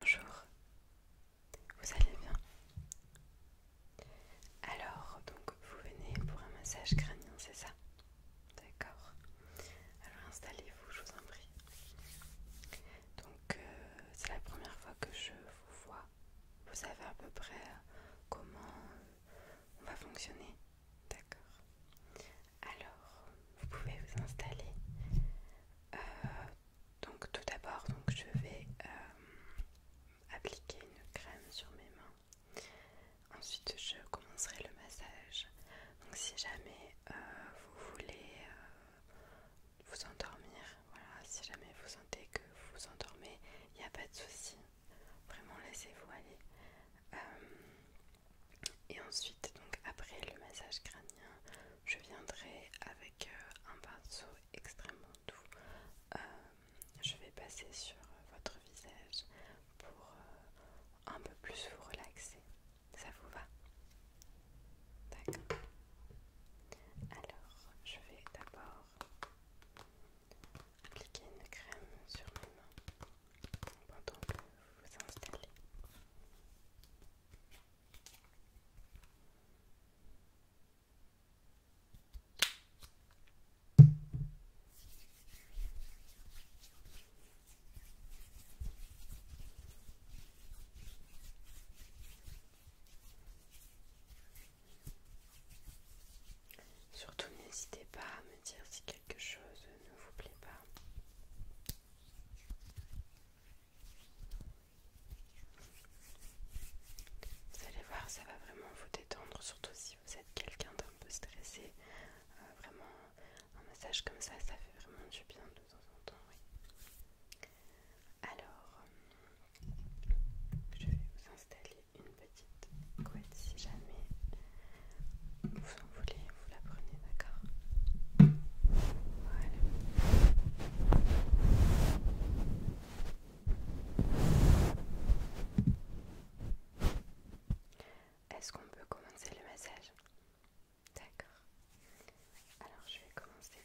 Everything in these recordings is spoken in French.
Bonjour, vous allez bien Alors, donc vous venez pour un massage crânien, c'est ça D'accord. Alors installez-vous, je vous en prie. Donc, euh, c'est la première fois que je vous vois. Vous savez à peu près euh, comment euh, on va fonctionner D'accord. Alors, vous pouvez vous installer. Donc tout d'abord, je vais euh, appliquer une crème sur mes mains. Ensuite, je commencerai le massage. Donc si jamais euh, vous voulez euh, vous endormir, si jamais vous sentez que vous vous endormez, il n'y a pas de souci. Vraiment, laissez-vous aller. et ensuite, donc après le massage crânien, je viendrai avec euh, un pinceau extrêmement doux. Euh, je vais passer sur euh, votre visage pour un peu plus vous relaxer. Ça vous va D'accord. Alors, je vais d'abord appliquer une crème sur ma main. pendant que vous vous installez. Surtout n'hésitez pas à me dire si quelque chose ne vous plaît pas. Vous allez voir, ça va vraiment vous détendre, surtout si vous êtes quelqu'un d'un peu stressé. Euh, vraiment, un massage comme ça, ça fait vraiment du bien de temps en temps. Alors, je vais vous installer une petite couette si jamais vous en voulez la prenez, d'accord Est-ce qu'on peut commencer le massage D'accord. Alors je vais commencer.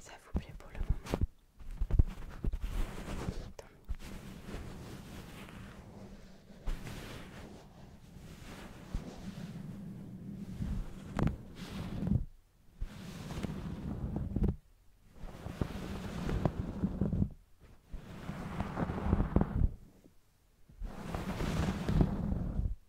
Ça vous plaît pour le moment Attends.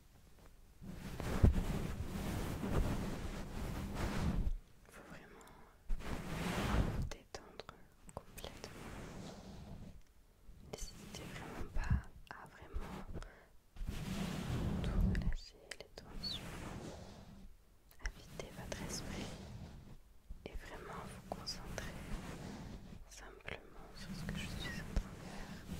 Il faut vraiment vous détendre complètement. N'hésitez vraiment pas à vraiment tout relâcher les tensions. Invitez votre esprit et vraiment vous concentrer simplement sur ce que je suis en train de faire.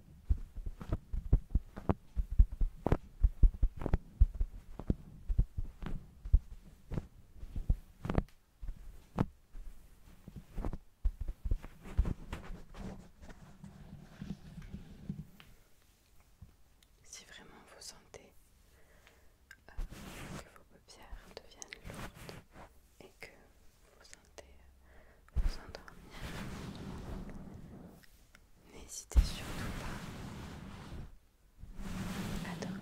Si vraiment vous sentez euh, que vos paupières deviennent lourdes et que vous sentez vous endormir, N'hésitez surtout pas à dormir.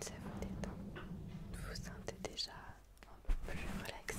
Ça vous détend, vous sentez déjà un peu plus relaxé.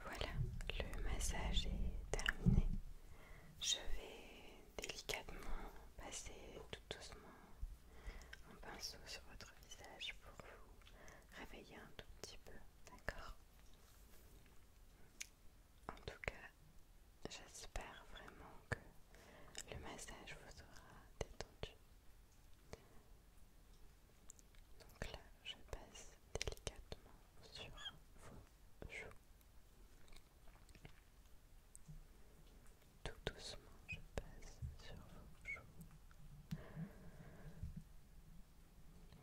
Voilà, le massage est terminé. Je vais délicatement passer tout doucement un pinceau sur votre visage pour vous réveiller un tout petit peu, d'accord En tout cas, j'espère vraiment que le massage vous aura détendu. Donc là, je passe délicatement sur vos joues. Tout doucement, je passe sur vos joues. Vous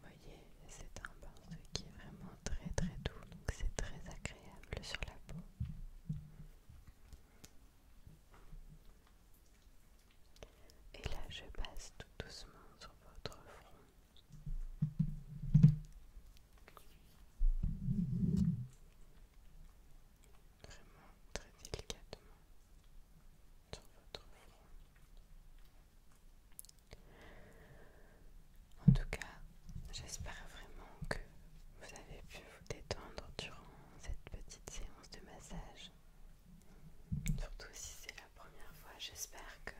voyez, c'est un de qui est vraiment très très doux, donc c'est très agréable sur la peau. Et là, je passe tout doucement sur votre front. Vraiment très délicatement sur votre front. En tout cas, j'espère vraiment que vous avez pu vous détendre durant cette petite séance de massage. Surtout si c'est la première fois, j'espère que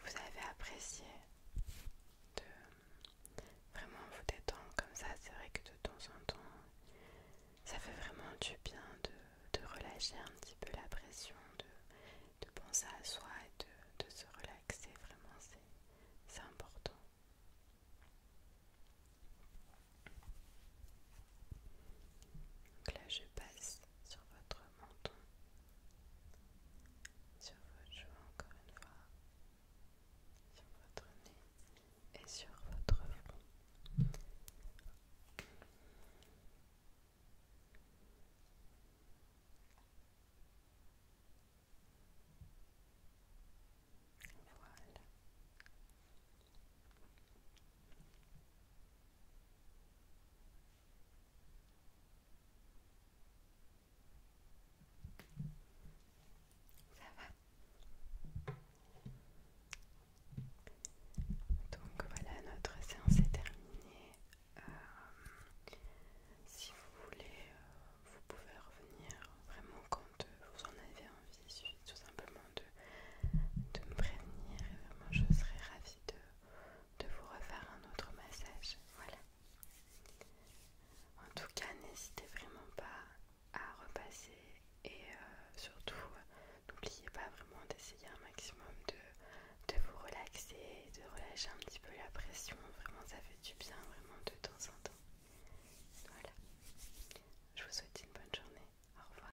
vous avez apprécié de vraiment vous détendre comme ça. C'est vrai que de temps en temps, ça fait vraiment du bien de, relâcher un petit peu la pression, de, penser à soi et de se relaxer. Vraiment, c'est important. Donc là, je passe sur votre menton, sur votre joue encore une fois, sur votre nez et sur votre front. Voilà. Ça va Donc voilà, notre séance est terminée. Euh, si vous voulez, euh, vous pouvez revenir vraiment quand euh, vous en avez envie. tout simplement de, me prévenir et vraiment je serais ravie de, de vous refaire un autre massage. Voilà. En tout cas, n'hésitez vraiment pas à repasser et euh, surtout euh, n'oubliez pas vraiment d'essayer un maximum de, de vous relaxer, de relâcher un petit peu la pression. Vraiment, ça fait du bien vraiment de temps en temps. Voilà. Je vous souhaite une bonne journée. Au revoir.